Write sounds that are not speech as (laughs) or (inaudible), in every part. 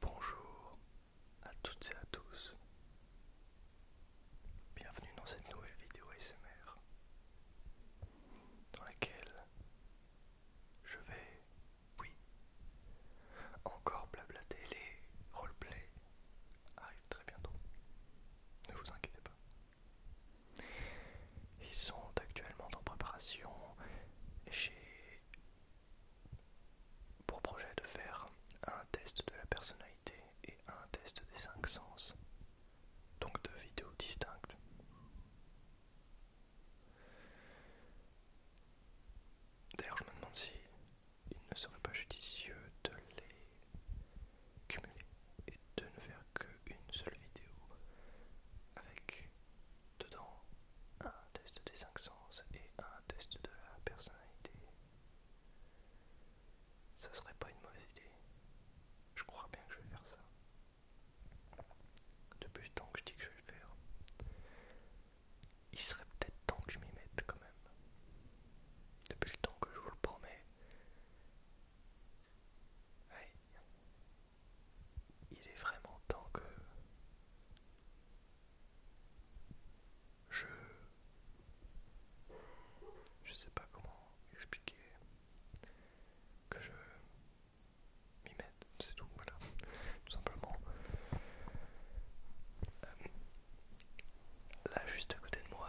Bonjour à toutes et à tous. Bienvenue dans cette nouvelle vidéo ASMR dans laquelle je vais, oui, encore blablater les roleplays arrivent très bientôt. Ne vous inquiétez pas. Ils sont actuellement en préparation chez pour projet de faire un test de la personnalité et un test des cinq sens, donc deux vidéos distinctes. D'ailleurs, je me demande si il ne serait pas judicieux de les cumuler et de ne faire qu'une seule vidéo avec dedans un test des cinq sens et un test de la personnalité. Ça serait pas une mauvaise idée. Je crois bien que je vais faire ça. Depuis le temps que je dis que je vais le faire. Il serait peut-être temps que je m'y mette quand même. Depuis le temps que je vous le promets. Il est vraiment temps que je je sais pas comment expliquer que je m'y mette, c'est tout, voilà, tout simplement. Euh, là, juste à côté de moi,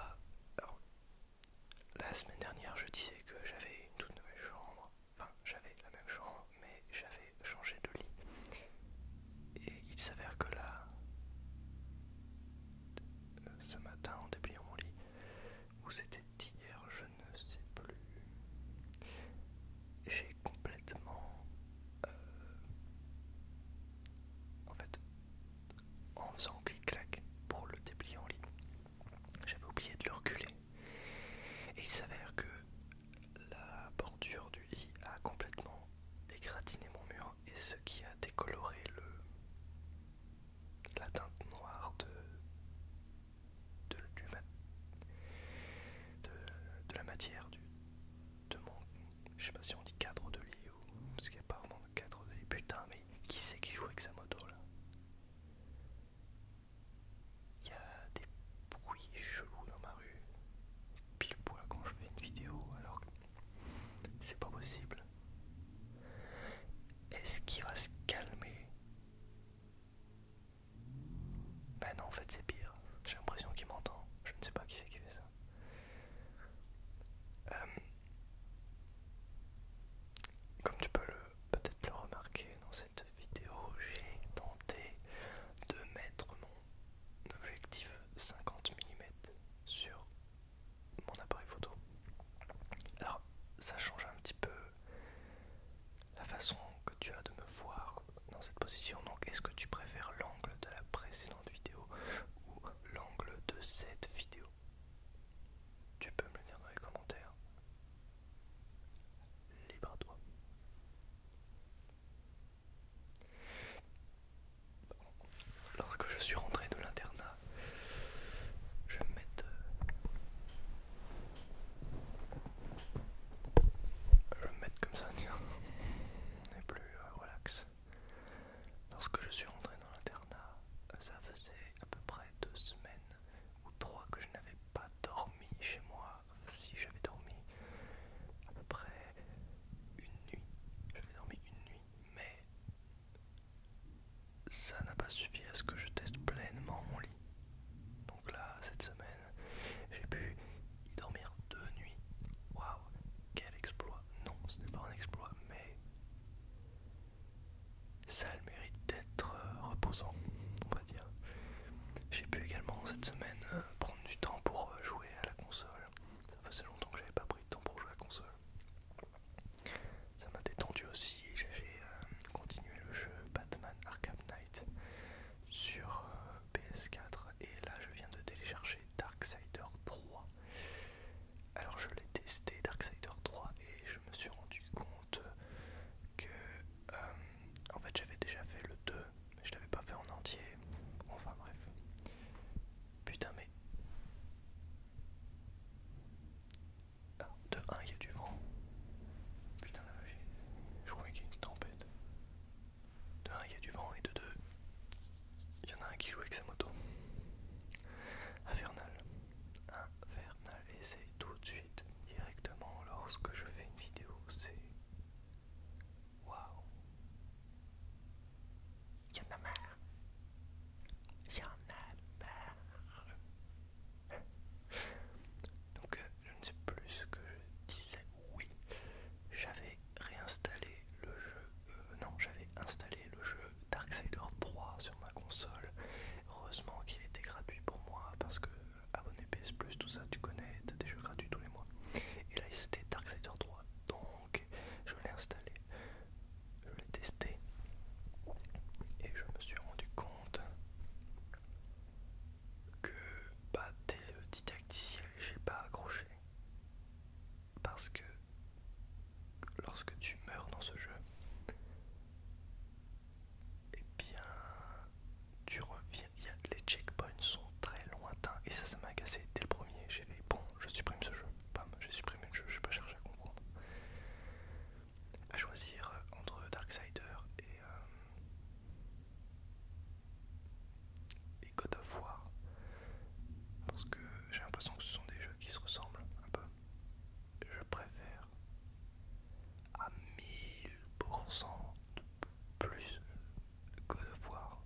la semaine dernière, je disais que j'avais une toute nouvelle chambre, Enfin, j'avais la même chambre, mais j'avais changé de lit. Et il s'avère que là, ce matin, en dépliant mon lit, ou c'était hier, je ne sais plus, j'ai complètement... Euh, en fait, en faisant clic-clac pour le déplier en lit, j'avais oublié de le reculer. Et il s'avère que la bordure du lit a complètement égratiné mon mur et ce qui a décoloré le la teinte noire de de, la matière du de mon je sais pas si on dit cadre de lit ou parce qu'il n'y a pas vraiment de cadre de lit putain mais qui c'est qui joue avec sa moto là il y a des bruits chelous dans ma rue, pile poil quand je fais une vidéo, alors que c'est pas possible. Est-ce qu'il va se calmer Ben non, en fait c'est pire. J'ai l'impression qu'il m'entend. Je ne sais pas qui c'est qui fait ça. Euh, comme tu peux peut-être le remarquer dans cette vidéo, j'ai tenté de mettre mon objectif 50 mm sur mon appareil photo. Alors, ça change un petit peu la façon que tu as de me voir dans cette position. Donc, est-ce que tu préfères l'angle de la précédente vidéo ou l'angle de cette vidéo Tu peux me le dire dans les commentaires. Libre toi. Lorsque je suis rentré de l'internat, je me mettre. Euh, je comme ça, tiens. On est plus euh, relax. Lorsque je suis rentré dans l'internat, ça faisait à peu près deux semaines ou trois que je n'avais pas dormi chez moi si j'avais dormi à peu près une nuit. J'avais dormi une nuit, mais ça n'a pas suffi à ce que je teste pleinement mon lit. Donc là, cette semaine, j'ai pu y dormir deux nuits. Waouh, quel exploit! Non, ce n'est pas un exploit, mais ça le mérite d'être euh, reposant, on va dire. J'ai pu également cette semaine euh, prendre du temps pour euh, jouer à la console. Ça faisait longtemps que j'avais pas pris de temps pour jouer à la console. Ça m'a détendu aussi j'ai continué le jeu Batman Arkham Knight sur PS4 et là je viens de télécharger Darksider 3. Alors je l'ai testé Darksider 3 et je me suis rendu compte que euh, en fait j'avais déjà fait le 2 mais je l'avais pas fait en entier enfin bref putain mais ah, de 1 il y a du vent putain là je crois qu'il y a une tempête de 1 il y a du vent et de 2 il y en a un qui joue avec sa moto infernal infernal et c'est tout de suite directement lorsque je fais une vidéo c'est waouh y'en a marre y'en a marre donc euh, je ne sais plus ce que je disais oui j'avais réinstallé le jeu euh, non j'avais installé le jeu Darksider 3 sur ma console heureusement qu'il était gratuit pour moi parce que abonné PS Plus, tout ça, tu connais, t'as des jeux gratuits tous les mois. Et là, c'était Darksider 3, donc je l'ai installé, je l'ai testé, et je me suis rendu compte que, bah, dès le didacticiel, j'ai pas accroché. Parce que lorsque tu meurs dans ce jeu, eh bien, tu reviens, les checkpoints sont très lointains et ça, ça m'a cassé dès le premier. J'ai fait bon, je supprime ce jeu, bam, j'ai supprimé le jeu, je vais pas chercher à comprendre. À choisir euh, entre Darksider et, euh, et God of War parce que j'ai l'impression que ce sont des jeux qui se ressemblent un peu. Je préfère à 1000% de plus que de voir.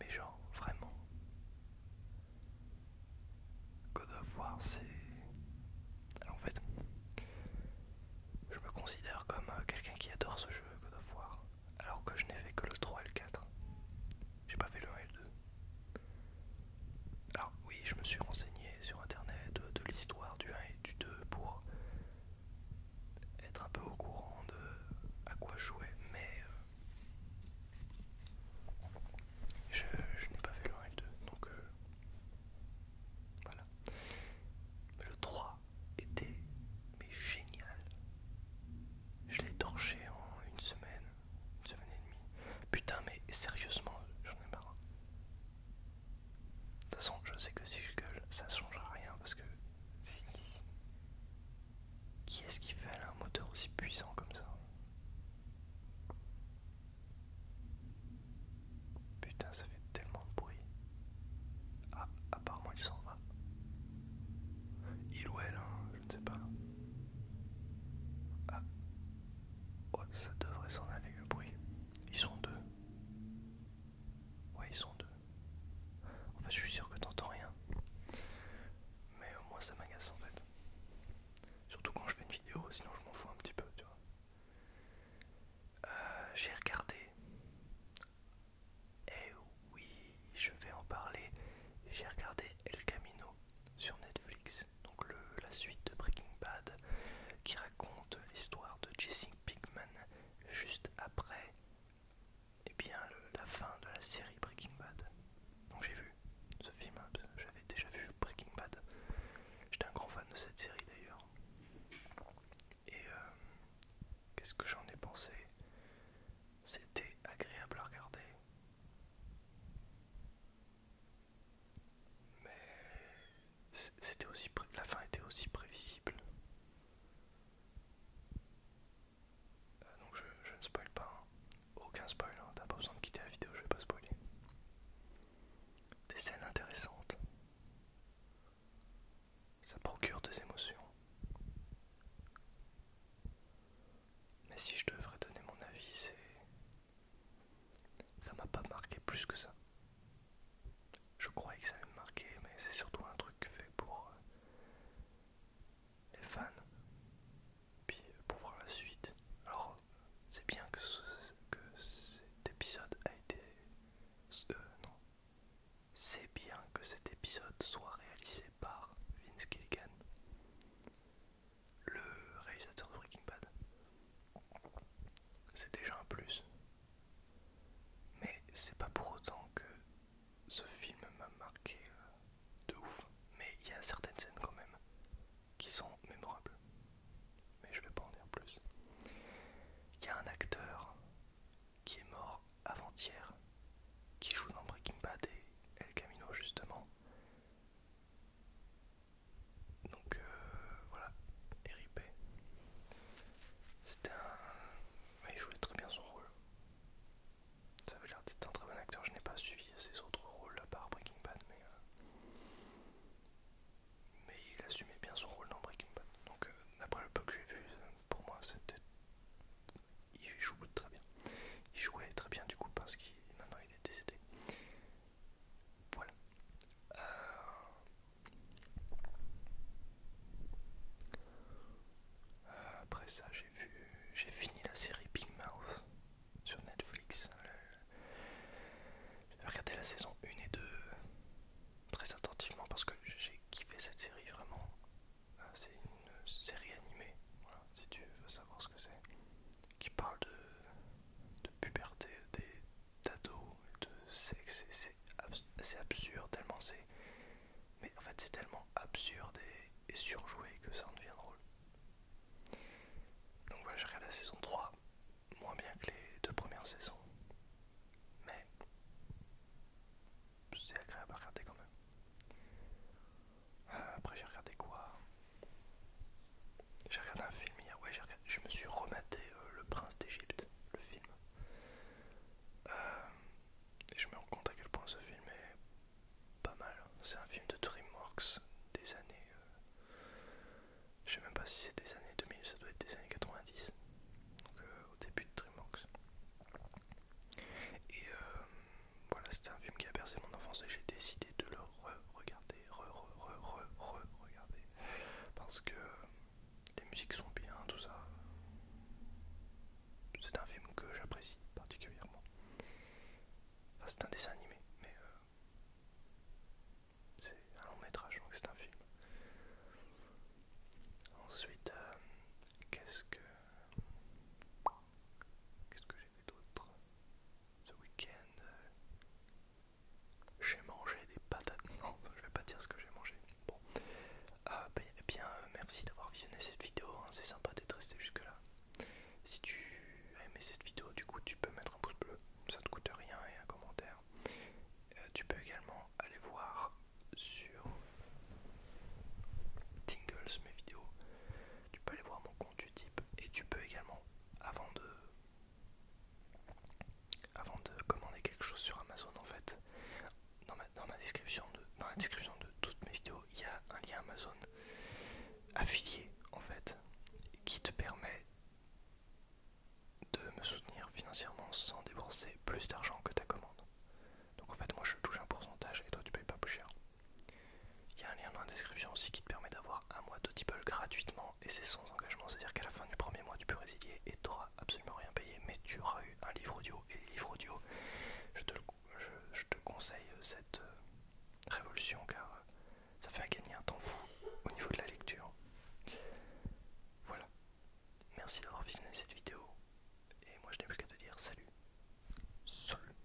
Mais genre, vraiment. que de voir c'est. Alors en fait, je me considère comme euh, quelqu'un qui adore ce jeu, que de alors que je n'ai fait que le 3 et le 4. J'ai pas fait le 1 et le 2. Alors, oui, je me suis renseigné sur internet euh, de l'histoire du 1 et du 2 pour être un peu au courant de à quoi jouer, mais euh, je, n'ai pas fait le 1 et le 2, donc euh, voilà. le 3 était mais génial. Je l'ai torché en une semaine, une semaine et demie. Putain, mais sérieusement, j'en ai marre. De toute façon, je sais que si je gueule, ça ne changera rien parce que. Qui est-ce qui fait un moteur aussi puissant comme ça Putain, ça fait tellement de bruit. Ah, apparemment, il s'en va. Il ou elle, hein, je ne sais pas. Ah, ça devrait s'en aller le bruit. Ils sont deux. Ouais, ils sont deux. En fait, je suis sûr que t'entends rien. Mais au moins, ça m'agace en fait. Surtout quand je fais une vidéo, sinon je m'en fous un petit peu, tu vois. Euh, j'ai regardé. Eh oui, je vais en parler. J'ai regardé El Camino sur Netflix donc le, la suite de Breaking Bad, qui raconte l'histoire de Jesse Pinkman juste après eh bien, la fin de la série Breaking Bad. Donc j'ai vu ce film, hein, j'avais déjà vu Breaking Bad. J'étais un grand fan de cette série d'ailleurs. Et euh, qu'est-ce que j'en ai pensé C'était agréable à regarder. Mais c'était aussi la fin était aussi prévisible. Euh, donc je, ne spoil pas, hein. aucun spoil, hein. t'as pas besoin de quitter la vidéo, je vais pas spoiler. Des scènes intéressantes. Ça procure des émotions. Mais si je devrais donner mon avis, c'est ça m'a pas marqué plus que ça. Je croyais que ça allait me marquer, mais c'est surtout un truc fait pour euh, les fans. Puis pour voir la suite. Alors, c'est bien que, cet épisode a été. Euh, non. C'est bien que cet épisode soit réalisé par Vince Gilligan le réalisateur de Breaking Bad. C'est déjà un plus. Mais c'est pas pour autant que ce film m'a marqué euh, de ouf. Mais il y a certaines scènes quand même qui sont mémorables. Mais je vais pas en dire plus. Il y a un acteur qui est mort avant-hier, qui joue dans Breaking Bad et El Camino justement. Donc euh, voilà, RIP. C'était un. Il jouait très bien son rôle. Ça avait l'air d'être un très bon acteur. Je n'ai pas suivi ses autres rôles à part Breaking Bad, mais. Euh, mais il assumait bien son rôle dans Breaking Bad. Donc, d'après euh, le peu que j'ai vu, pour moi, c'était. Il jouait très bien. Il jouait très bien du coup parce qu'il maintenant il est décédé. Voilà. Euh, après ça, j'ai vu, j'ai fini la série Big Mouth sur Netflix. Euh, j'ai regardé la saison 1 et 2 très attentivement parce que j'ai kiffé cette série vraiment. Euh, c'est une série animée, si tu veux savoir ce que c'est qui parle de, de puberté des ados et de sexe et c'est absurde tellement c'est mais en fait c'est tellement absurde et, surjoué que ça en devient drôle donc voilà j'ai regardé la saison 3 moins bien que les deux premières saisons mais c'est agréable à regarder quand même euh, après j'ai regardé quoi j'ai regardé un film hier, ouais, je me suis rematé euh, Le Prince d'Égypte, le film. Euh, et je me rends compte à quel point ce film est pas mal. C'est un film de DreamWorks des années. Euh, je sais même pas si c'est des années 2000, ça doit être des années 90. Donc au début de DreamWorks. Et voilà, c'était un film qui a bercé mon enfance et j'ai décidé de le re-regarder, re-re-re-re-regarder. Parce que les musiques sont bien, tout ça. C'est un film que j'apprécie particulièrement. c'est un dessin animé, mais euh, c'est un long métrage, donc c'est un film. Ensuite, euh, qu'est-ce que... Qu'est-ce que j'ai fait d'autre ce week-end, euh, j'ai mangé des patates. (laughs) Non, je vais pas dire ce que j'ai mangé. Bon, ah, ben, eh bien, euh, merci d'avoir visionné cette vidéo. Hein. C'est sympa d'être resté jusque-là. Si tu as aimé cette vidéo, du coup, tu peux mettre un pouce bleu. Ça te coûte rien et un commentaire. Euh, tu peux également aller voir sur Tingles mes vidéos. Tu peux aller voir mon compte utip et tu peux également avant de avant de commander quelque chose sur Amazon en fait dans ma, description de la description de toutes mes vidéos il y a un lien Amazon affilié en fait qui te permet de me soutenir financièrement sans débourser plus d'argent que ta commande donc en fait moi je touche un pourcentage et toi tu payes pas plus cher il y a un lien dans la description aussi qui te permet d'avoir un mois d'Audible gratuitement et c'est sans engagement, c'est-à-dire qu'à la fin du premier mois tu peux résilier et tu n'auras absolument rien payé, mais tu auras eu un livre audio et livre livres audio, je te, conseille euh, cette euh, révolution car euh, ça fait gagner un temps fou au niveau de la lecture. Voilà, merci d'avoir visionné cette vidéo et moi je n'ai plus qu'à te dire salut. Salut